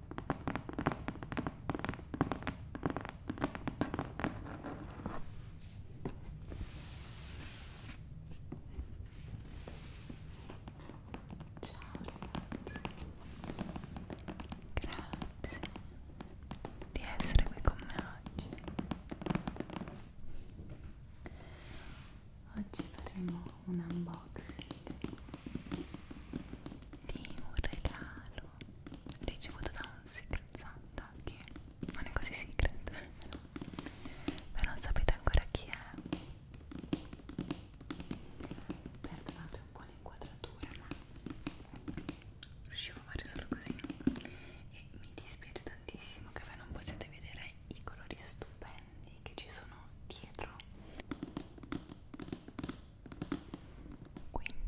Grazie di essere qui con me oggi. Oggi faremo un unboxing di un regalo regalo ricevuto da un secret santa che non è così secret però, però non sapete ancora chi è perdonate un po' l'inquadratura ma riuscivo a fare solo così e mi dispiace tantissimo che voi non possiate vedere i colori stupendi che ci sono dietro quindi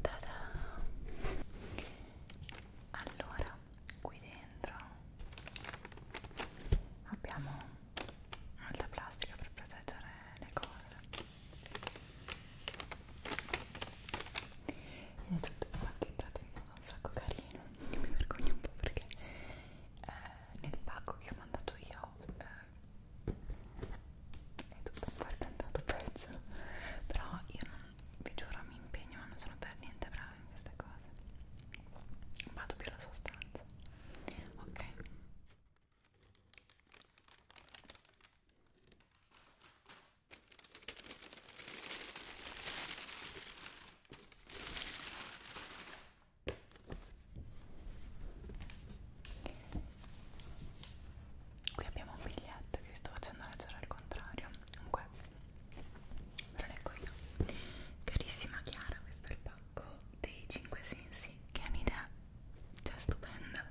Tada! allora qui dentro abbiamo molta plastica per proteggere le corde e è tutto patentato in modo un sacco carino mi vergogno un po' perché eh, nel pacco che ho mandato io eh, è tutto un patentato pezzo però io non, vi giuro mi impegno ma non sono per niente brava in queste cose vado più alla sostanza ok Qui abbiamo un biglietto che vi sto facendo leggere al contrario. Comunque, ve lo leggo io. Carissima Chiara, questo è il pacco dei 5 sensi che è un'idea cioè stupenda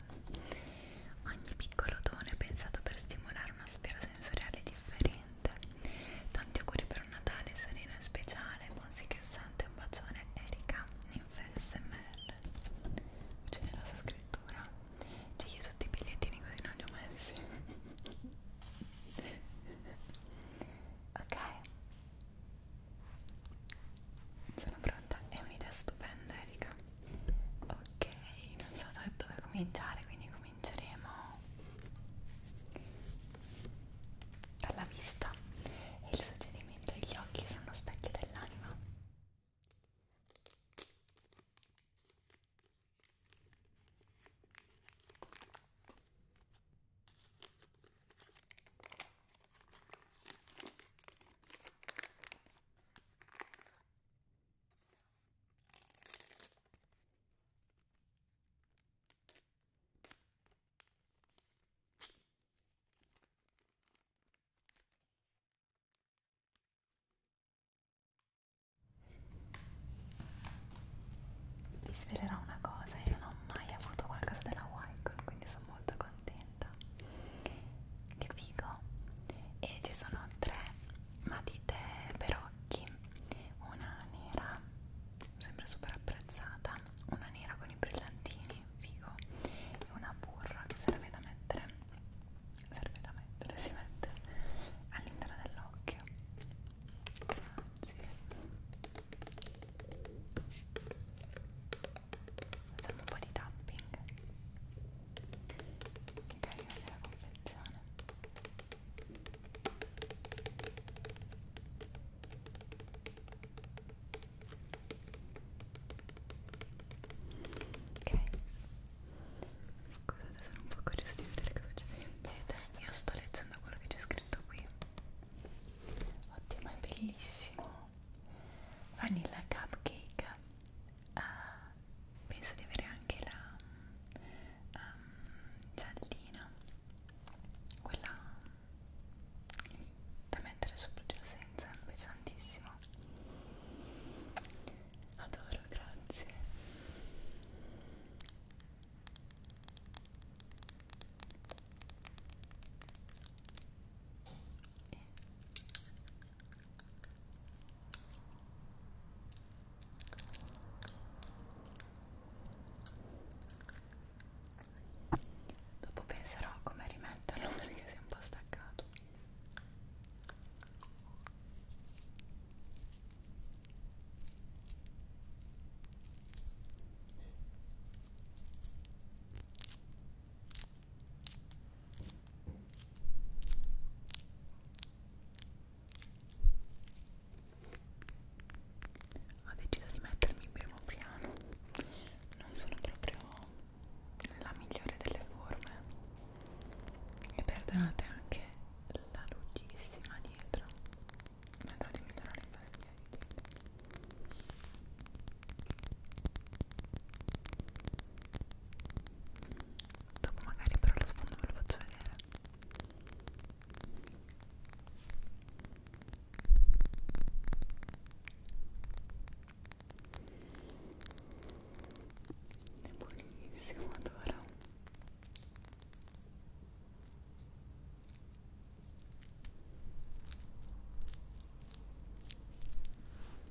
ogni piccolo dono è pensato per stimolare una sfera sensoriale differente tanti auguri per un Natale sereno e speciale buon sì che santo un bacione Erika infsmr c'è nella sua scrittura cioè io tutti i bigliettini così non li ho messi ok sono pronta, è un'idea stupenda Erika ok non so da dove cominciare quindi cominceremo dalla vista e il suggerimento degli occhi sono specchi dell'anima vi svelerò una cosa, io non ho mai avuto qualcosa della Wycon, quindi sono molto contenta maglietta che figo e ci sono tre matite per occhi una nera sempre super apprezzata una nera con i brillantini figo e una burra che serve da mettere serve da mettere si mette all'interno dell'occhio grazie facciamo un po' di tapping carina della confezione ok scusate sono un po' curiosa di vedere cosa c'è dentro io sto leggendo quello che c'è scritto qui ottimo è bellissimo vanilla cupcake uh, penso di avere anche la um, giallina quella da mettere sopra già senza è pesantissima adoro grazie e dopo penserò a come rimetterlo perché si è un po' staccato ho deciso di mettermi in primo piano, non sono proprio la migliore delle forme e perdonate anche la lucissima dietro, vedrò di migliorare in base ai miei dopo magari però lo sfondo ve lo faccio vedere è buonissimo adoro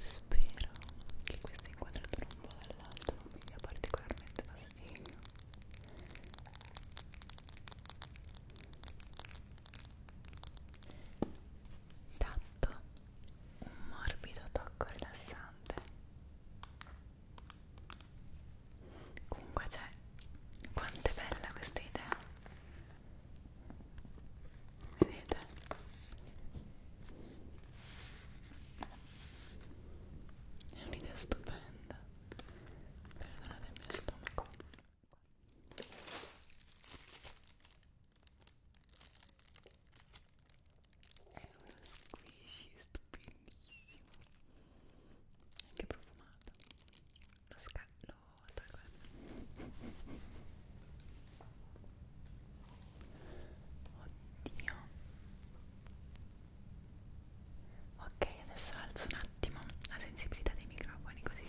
Spero che questa inquadratura un po' dall'alto non mi dia particolarmente fastidio. Tatto, un morbido tocco rilassante comunque c'è cioè, quanto è bella questa idea vedete è un'idea stupenda perdonate il mio stomaco è uno squishy stupidissimo anche profumato lo scallo tolgo oddio ok adesso alzo un attimo la sensibilità dei microfoni così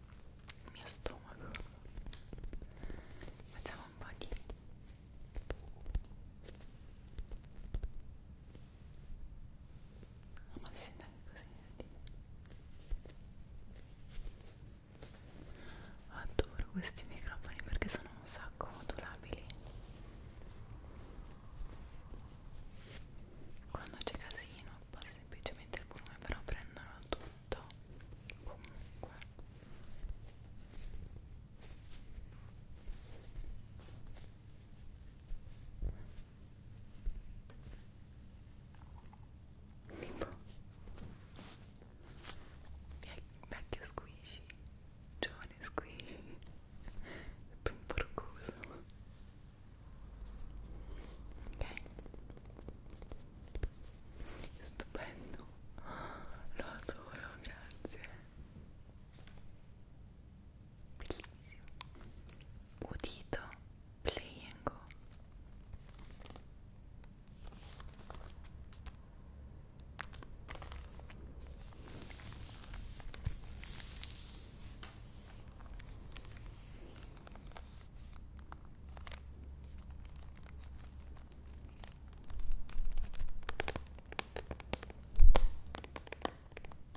il mio stomaco facciamo un po' di no, ma si sente anche così adoro questi microfoni perché sono un sacco modulabili quando c'è casino tappa semplicemente il volume però prendono tutto comunque tipo vecchio squishy giovane squishy tutto un porcoso ok stupendo lo adoro grazie bellissimo udito play and go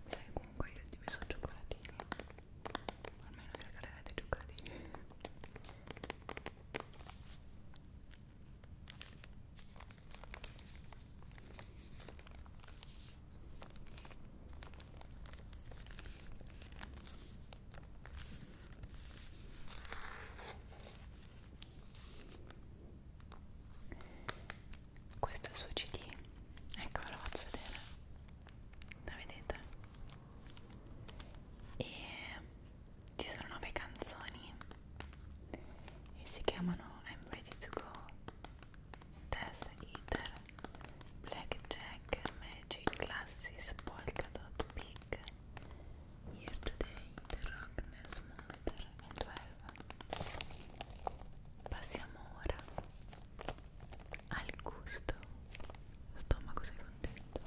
Sai comunque io ti messo cioccolatini Almeno vi regalerete cioccolatini questo è il suo CD, ecco ve lo faccio vedere, la vedete? E ci sono nove canzoni e si chiamano I'm Ready to Go, Death Eater, Blackjack, Magic, Classis, Polkadot, Pig, Year Today, The Rockness, Monster e 12. Passiamo ora al gusto. Stomaco sei contento?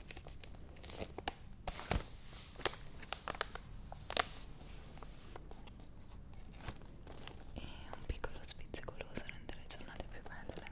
E un piccolo sfizio goloso rende le giornate più belle.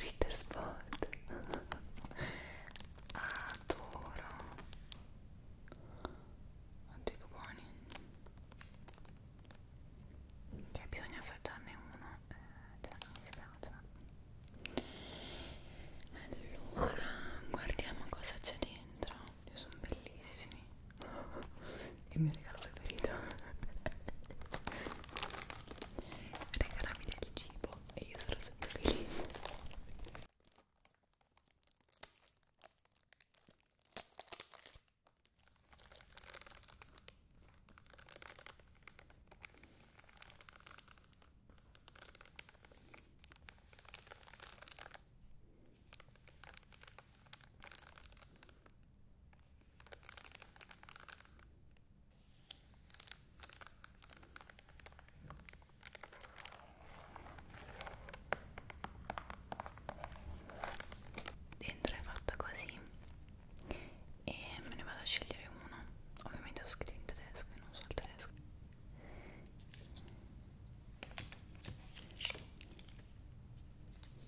Ritter Spot Adoro Oddio che buoni Che bisogna assaggiarne uno eh, Cioè non mi piace allora guardiamo cosa c'è dentro io sono bellissimi il mio regalo preferito regalami del cibo e io sarò sempre felice Dentro è fatta così e me ne vado a scegliere uno ovviamente ho scritto in tedesco e non so il tedesco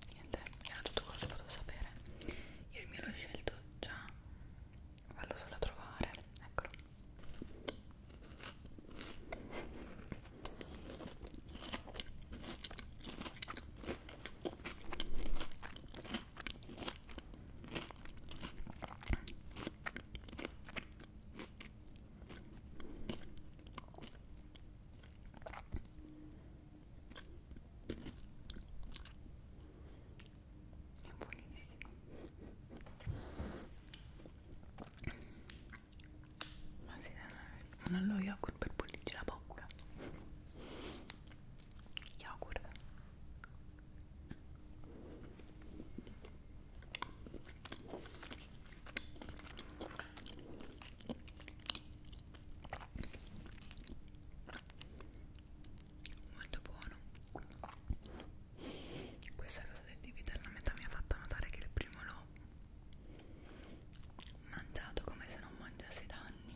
niente era tutto quello che potevo sapere io il mio l'ho scelto già vallo solo a trovare eccolo ma si dà una, una lo yogurt per pulirci la bocca yogurt molto buono questa cosa del dividerla a metà mi ha fatto notare che il primo l'ho mangiato come se non mangiassi da anni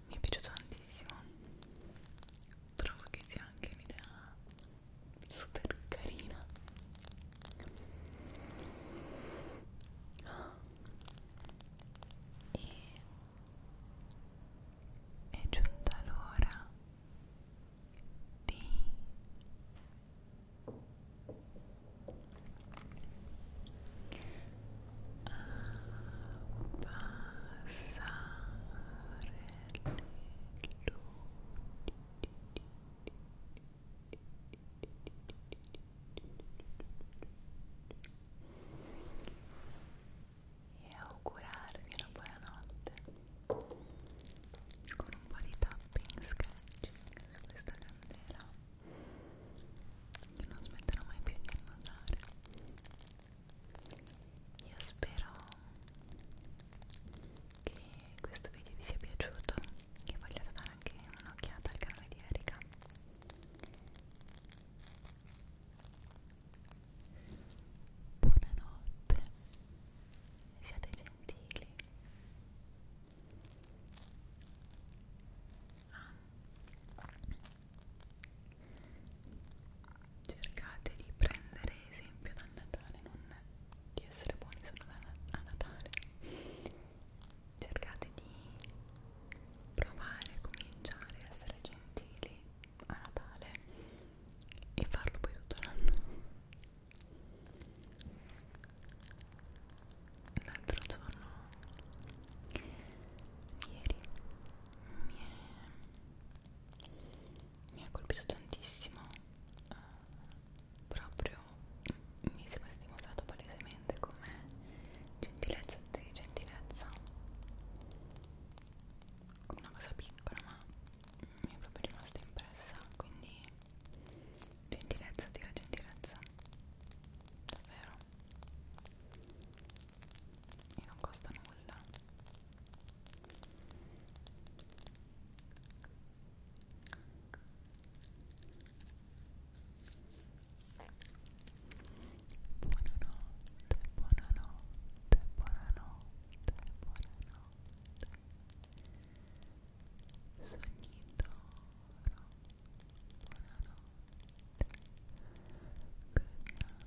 mi è piaciuto tantissimo trovo che sia anche un'idea super carina e è giunta l'ora di e augurarvi una buona notte con un po' di tapping sketching su questa candela che non smetterò mai più di annodare io spero che questo video vi sia piaciuto che vogliate dare anche un'occhiata al canale di Erika buonanotte siate gentili ah, cercate di prendere esempio dal Natale non di essere buoni solo a Natale cercate di provare a cominciare a essere gentili a Natale e farlo poi tutto l'anno l'altro giorno ieri mi è mi ha colpito tantissimo eh, proprio mi sembra si è dimostrato palesemente come gentilezza di gentilezza una cosa piccola ma mi è proprio rimasta impressa quindi gentilezza tira gentilezza davvero e non costa nulla buonanotte buonanotte buonanotte buonanotte sogni d'oro buonanotte good night